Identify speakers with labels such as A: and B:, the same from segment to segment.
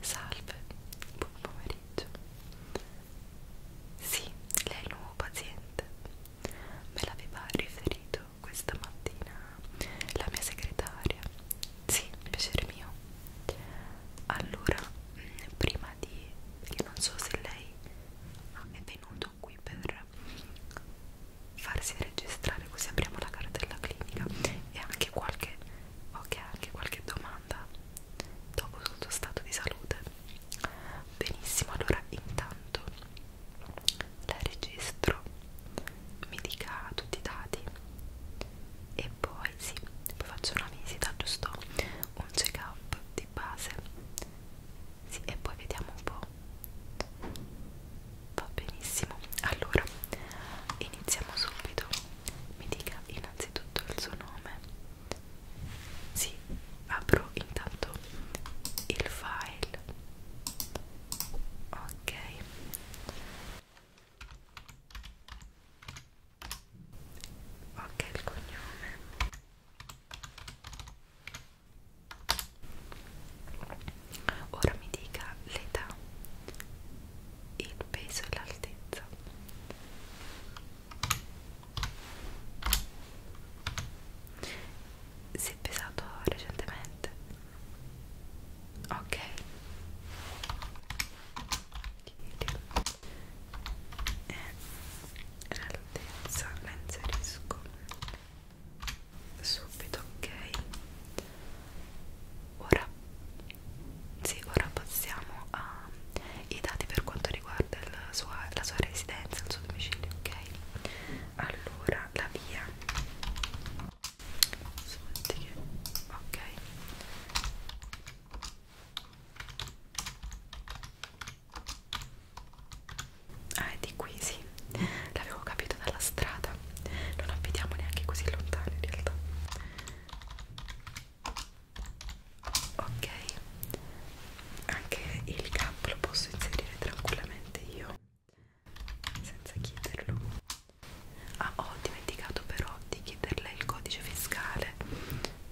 A: Salve, buon pomeriggio. Sì, lei è il nuovo paziente. Me l'aveva riferito questa mattina la mia segretaria. Sì, piacere mio. Allora, mm, prima parlava di perché non so se lei è venuto qui per farsi registrare così apriamo la cartella clinica e anche qualche ok anche qualche domanda dopo il suo stato di salute benissimo allora intanto la registro mi dica tutti i dati e poi sì poi faccio una visita giusto un check up di base sì, e poi vediamo un po' va benissimo allora iniziamo subito mi dica innanzitutto il suo nome sì apro intanto il file ok ok il cognome Ora mi dica l'età, il peso e l'altezza. Si è pesato recentemente? Ok. Eh, l'altezza la inserisco subito ok ora sì ora passiamo ai dati per quanto riguarda la sua, la sua residenza il suo domicilio ok allora la via ok Ah, è di qui, sì. L'avevo capito dalla strada. Non abitiamo neanche così lontani in realtà. Ok. Anche il cap lo posso inserire tranquillamente io senza chiederlo. Ah, ho dimenticato però di chiederle il codice fiscale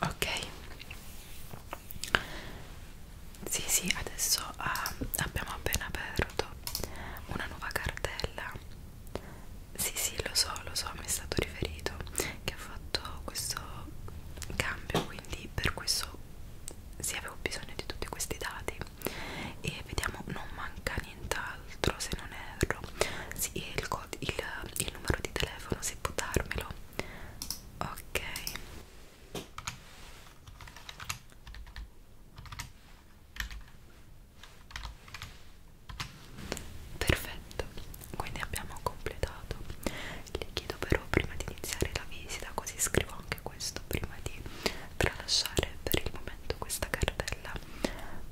A: ok sì sì adesso uh, abbiamo appena aperto una nuova cartella sì sì lo so lo so mi è stato riferito che ho fatto questo cambio quindi per questo sì avevo bisogno di tutti questi dati e vediamo non manca nient'altro se non erro sì il il, il numero di telefono se può darmelo ok perfetto quindi abbiamo completato le chiedo però prima di iniziare la visita così scrivo anche questo prima di tralasciare per il momento questa cartella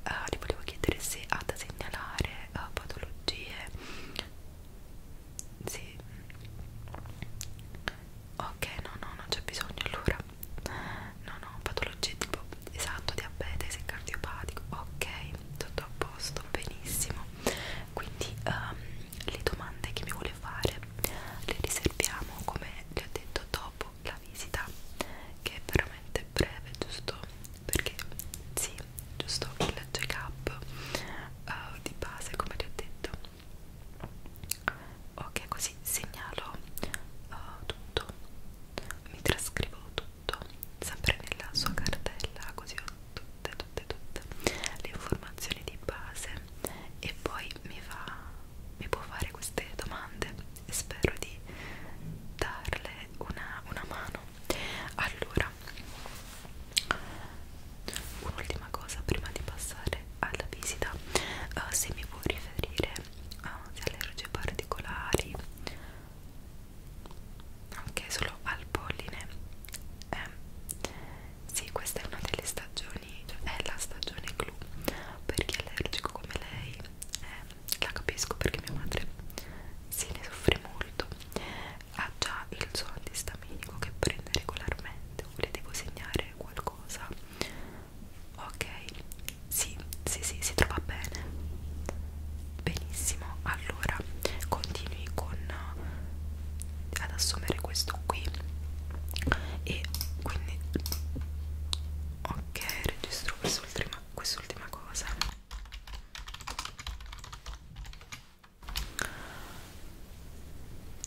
A: Uh, le volevo chiedere se ha da segnalare uh, patologie sì ok no no non c'è bisogno allora no no patologie tipo esatto diabete cardiopatico ok tutto a posto benissimo quindi um, le domande che mi vuole fare le riserviamo come le ho detto dopo la visita che è veramente breve giusto perché sì, giusto il check up uh, eh, di base come ti ho detto ok così segnalo uh, tutto mi trascrivo tutto sempre nella sua cartella così ho tutte tutte tutte le informazioni di base e poi mi fa mi può fare queste domande e spero di darle una, una mano allora un'ultima cosa prima di passare alla visita uh, se mi può riferire uh, eh, se allergie particolari anche okay, solo al polline eh, sì questa è una delle stagioni cioè è la stagione clou per chi è allergico come lei eh, la capisco perché mia madre se ne soffre molto ha già il suo antistaminico che prende regolarmente le devo segnare qualcosa ok sì sì sì si trova bene benissimo allora continui con eh, ad assumere questo qui e quindi ok registro quest'ultima quest'ultima cosa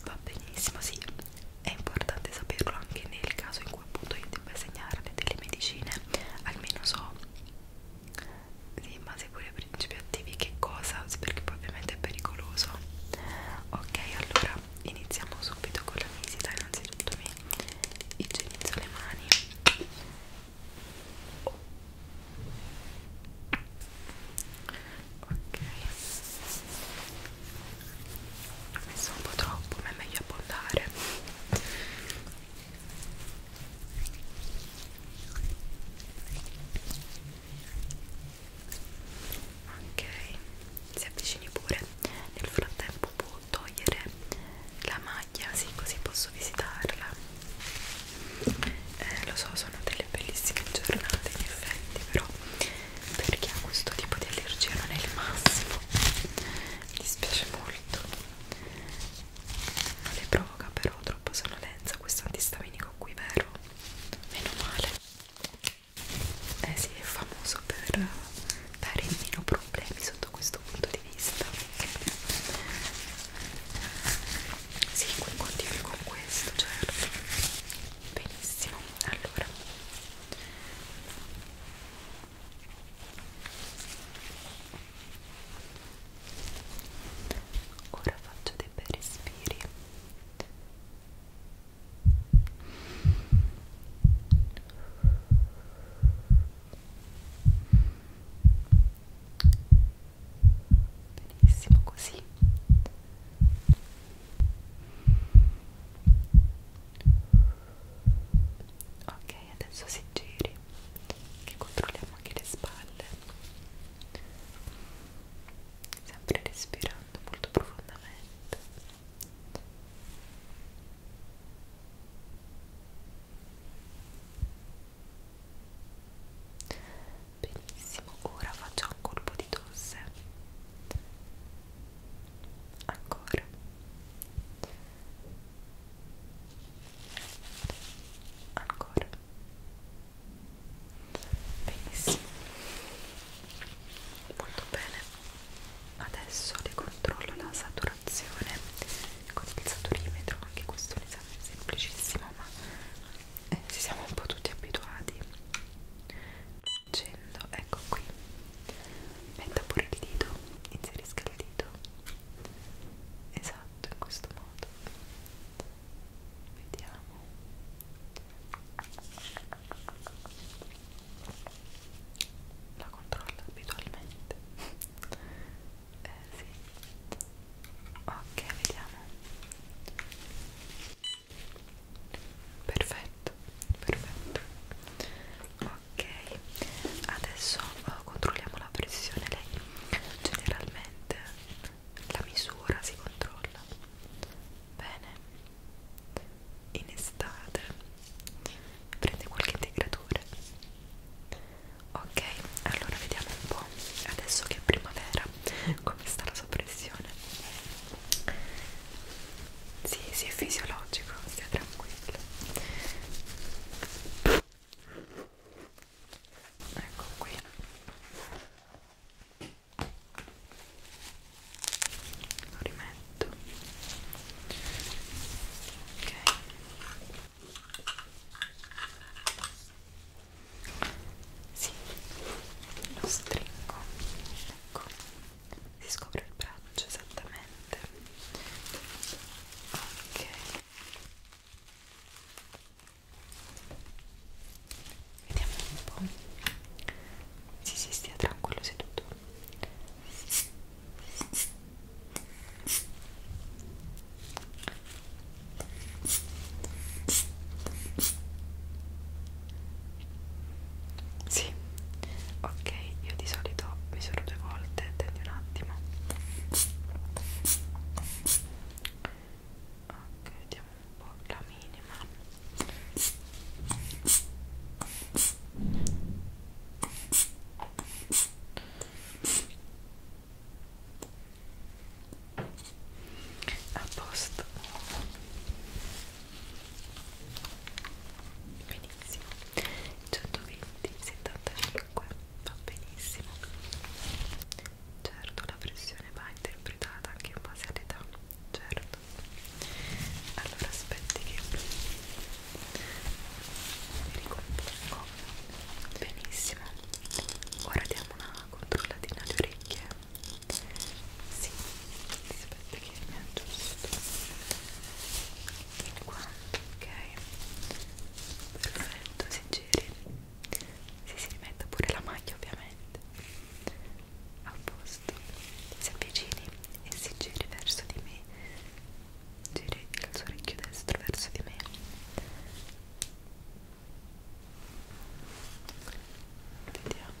A: va benissimo sì è importante saperlo anche nel caso in cui appunto io debba segnarle delle medicine almeno so sì, ma seguire i principi attivi che cosa perché poi ovviamente è pericoloso ok allora iniziamo subito con la visita innanzitutto mi igienizzo le mani ok ho messo un po' troppo ma è meglio abbondare ok si avvicini pure nel frattempo può togliere la maglia sì così posso visitarla eh, lo so sono delle bellissime giornate in effetti però per chi ha questo tipo di allergia non è il massimo mi dispiace molto non le provoca però troppo sonnolenza questo antistaminico qui vero meno male eh sì è famoso per dare meno problemi sotto questo questo punto di vista sì, continuo con questo, certo benissimo, allora ora faccio dei bei respiri benissimo così ok adesso si giri che controlliamo anche le spalle sempre respirando molto profondamente Benissimo, ora facciamo un colpo di tosse. Ancora. Ancora. Benissimo. Molto bene adesso le controllo la saturazione con il saturimetro anche questo è un esame semplicissimo ma eh, ci siamo un po' tutti abituati facendo ecco qui metta pure il dito inserisca il dito esatto in questo modo vediamo la controllo abitualmente eh sì ok vediamo perfetto perfetto ok adesso eh, controlliamo la pressione lei generalmente la misura si controlla bene in estate prende qualche integratore ok allora vediamo un po' adesso che è primavera come sta la soppressione sì, sì è fisiologico stia tranquillo ecco qui lo rimetto letto ok sì, lo stringo ecco, si scopre il braccio esattamente ok vediamo un po' sì, sì, stia tranquillo seduto sì, ok, io di solito mi sono due volte, tendi un attimo. Ok, vediamo un po' la minima. Ok, a posto benissimo 120 75 va benissimo certo la pressione va interpretata anche in base all'età certo allora aspetti che mi ricompongo benissimo ora diamo una controllatina alle orecchie sì, aspetta che mi aggiusto in quanto, ok perfetto, si giri si si rimette pure la maglia ovviamente a posto si avvicini e si giri verso di me giri il suo orecchio destro verso di me vediamo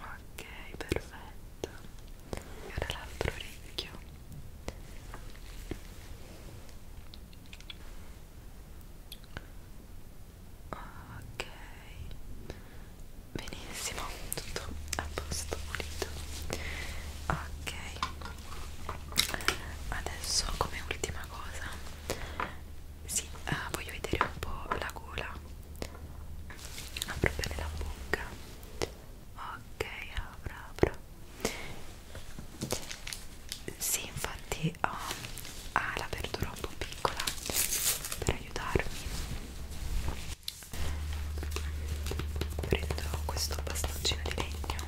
A: ok perfetto e ora l'altro orecchio ok benissimo tutto a posto pulito ok adesso come ultima cosa sì, eh, voglio vedere un po' la gola apro bene la bocca ok apro apro vero? Sì, infatti ho ah, la verdura un po' piccola per aiutarmi. Prendo questo bastoncino di legno.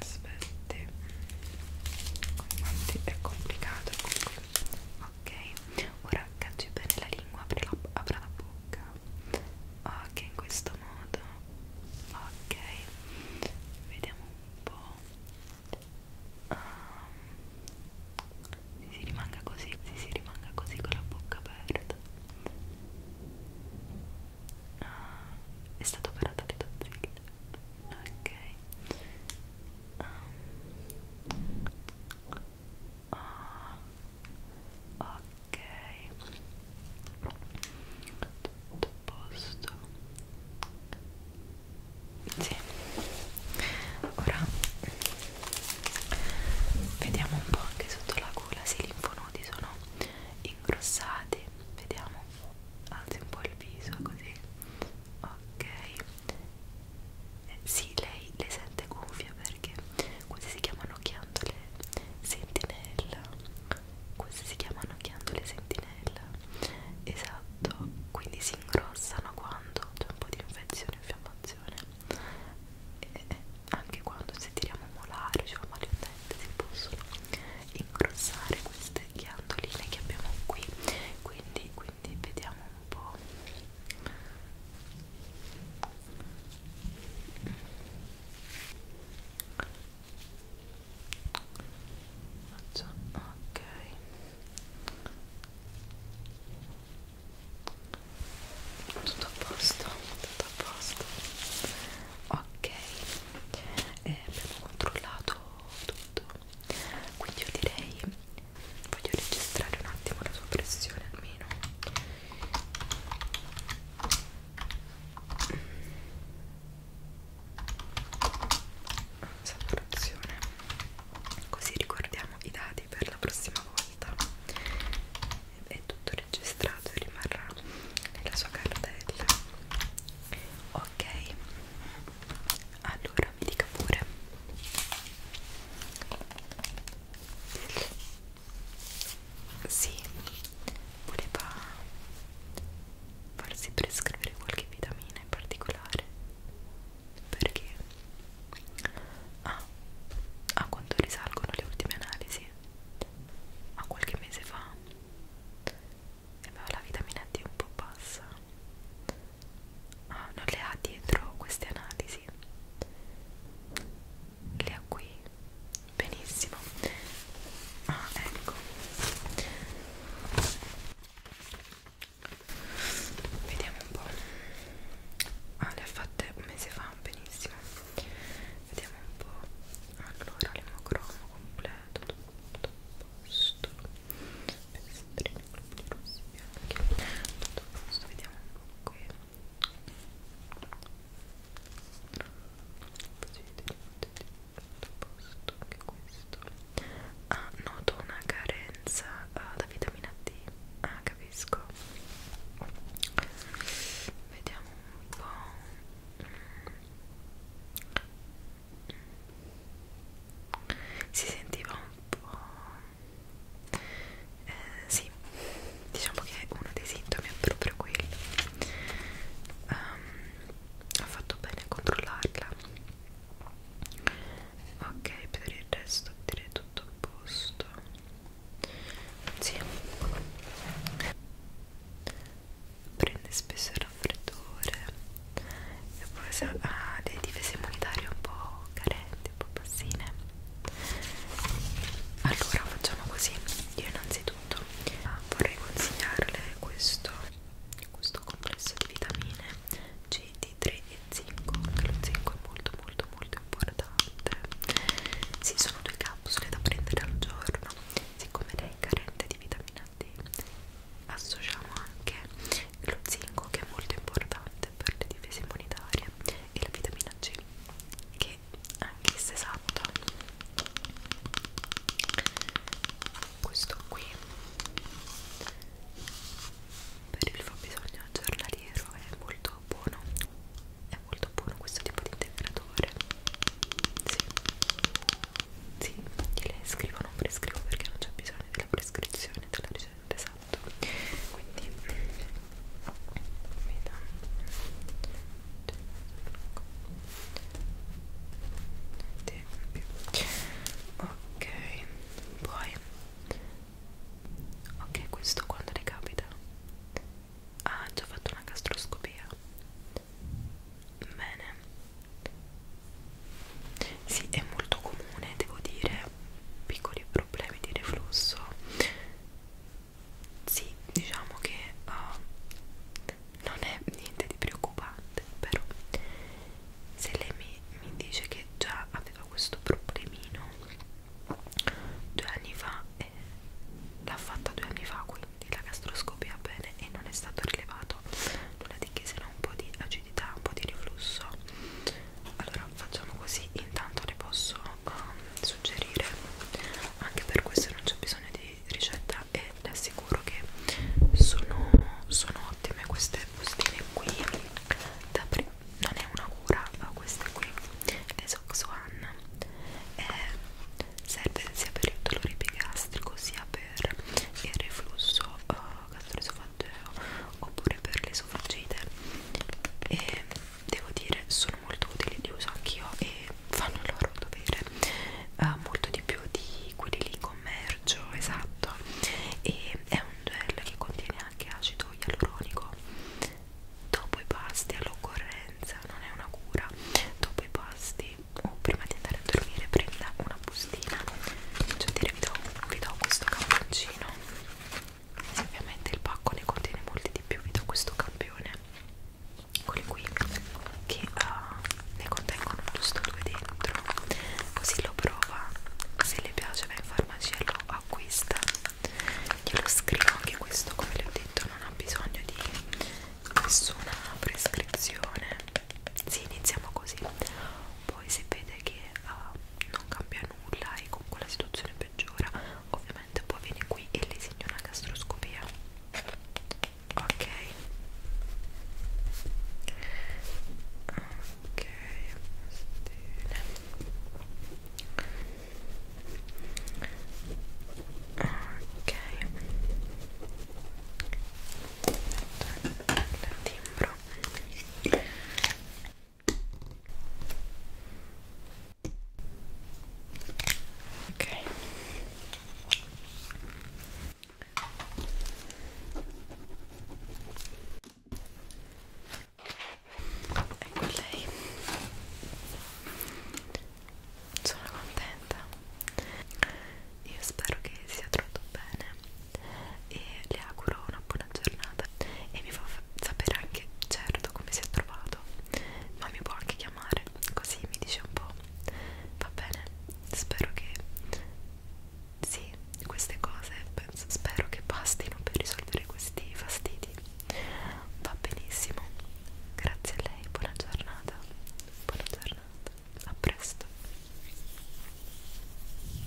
A: Aspetta, infatti è complicato comunque. Ok, ora cacci bene la lingua, apri la, apri la bocca bocca ok in questo modo ok vediamo un po' um, si rimanga così si, si rimanga così con la bocca aperta uh, è stata operata di Dozzilla ok um, Ah, ok, tutto a posto. Sì, ora vediamo un po' anche sotto la gola se i linfonodi sono ingrossati. Vediamo, alzi un po' il viso così. Ok, eh, sì lei le sente gonfie perché queste si chiamano ghiandole sentinella queste si chiamano ghiandole sentinella esatto quindi si ingrossano quando c'è un po' di infezione infiammazione e, e anche quando se tiriamo molare cioè male un dente si possono ingrossare queste ghiandoline che abbiamo qui quindi, quindi vediamo un po' Faccio, ok tutto a posto tutto a posto ok e eh, abbiamo controllato tutto quindi io direi voglio registrare un attimo la sua pressione almeno saturazione così ricordiamo i dati per la prossima volta è tutto registrato e rimarrà nella sua cartella ok allora mi dica pure sì, voleva farsi prescrivere qualche vitamina in particolare perché ah, a quanto risalgono le ultime analisi a qualche mese fa aveva la vitamina D un po' bassa ah, non le ha dietro queste analisi le ha qui benissimo ah ecco vediamo un po' ah le ha fatte un mese fa benissimo vediamo un po' allora l'emocromo completo tutto posto pestrino, bianchi tutto posto vediamo un po' qui così posto anche questo ah, noto una carenza uh, ah, da vitamina D ah capisco vediamo un po' si sentiva un po' eh, sì, diciamo che uno dei sintomi è proprio quello. Um, ehm, ho fatto bene a controllarla. Ok, per il resto direi tutto a posto. Sì. Prende spesso il raffreddore e poi ha ah, delle difese immunitarie un po' carenti, un po' bassine allora facciamo così io innanzitutto ah, vorrei consigliarle questo questo complesso di vitamine C, D3 e zinco anche lo zinco è molto molto molto importante si sono due capsule da prendere al giorno siccome lei è carente di vitamina D associamo anche lo zinco che è molto importante per le difese immunitarie e la vitamina C che anche se esatta questo qui per il fabbisogno giornaliero è molto buono è molto buono questo tipo di integratore sì, sì gliele scrivo non prescrivo perché non c'è bisogno della prescrizione della ricerca esattamente esatto quindi vediamo ok poi ok questo quando le capita ah, ha già fatto una gastroscopia bene sì è molto comune devo dire piccoli problemi di reflusso sì diciamo che uh, non è niente di preoccupante però se lei mi, mi dice che già aveva questo problemino due anni fa eh, l'ha fatta due anni fa quindi la gastroscopia bene e non è stato rilevato nulla di che se no un po' di acidità un po' di reflusso allora facciamo così intanto le posso um, suggerire anche per questo non c'è bisogno di ricetta e le assicuro che sono, sono ottime queste bustine qui da non è una cura ma queste qui le Soxuan e eh, serve sia per il dolore pigastrico sia per il reflusso uh, castore sofaggeo oppure per le sofaggite e devo dire sono molto utili li uso anch'io e fanno il loro dovere uh, molto di più di quelli lì in commercio esatto e è un gel che contiene anche acido ialuronico dopo i pasti all'occorrenza non è una cura dopo i pasti o oh, prima di andare a dormire prenda una bustina cioè dire vi do, vi do questo camponcino ovviamente il pacco ne contiene molti di più vi do questo campione eccoli qui che uh, ne contengono giusto due dentro così lo prova se le piace va in farmacia e lo acquista glielo scrivo anche questo come le ho detto non ha bisogno di nessuna prescrizione sì iniziamo così poi se vede che uh, non cambia nulla e comunque la situazione peggiora ovviamente poi viene qui e le segno una gastroscopia ok ok ok il timbro ok ecco lei sono contenta io spero che sia troppo bene e le auguro una buona giornata e mi fa sapere anche certo come si è trovato ma mi può anche chiamare così mi dice un po' va bene spero che sì queste cose penso, spero che bastino per risolvere questi fastidi va benissimo grazie a lei buona giornata buona giornata a presto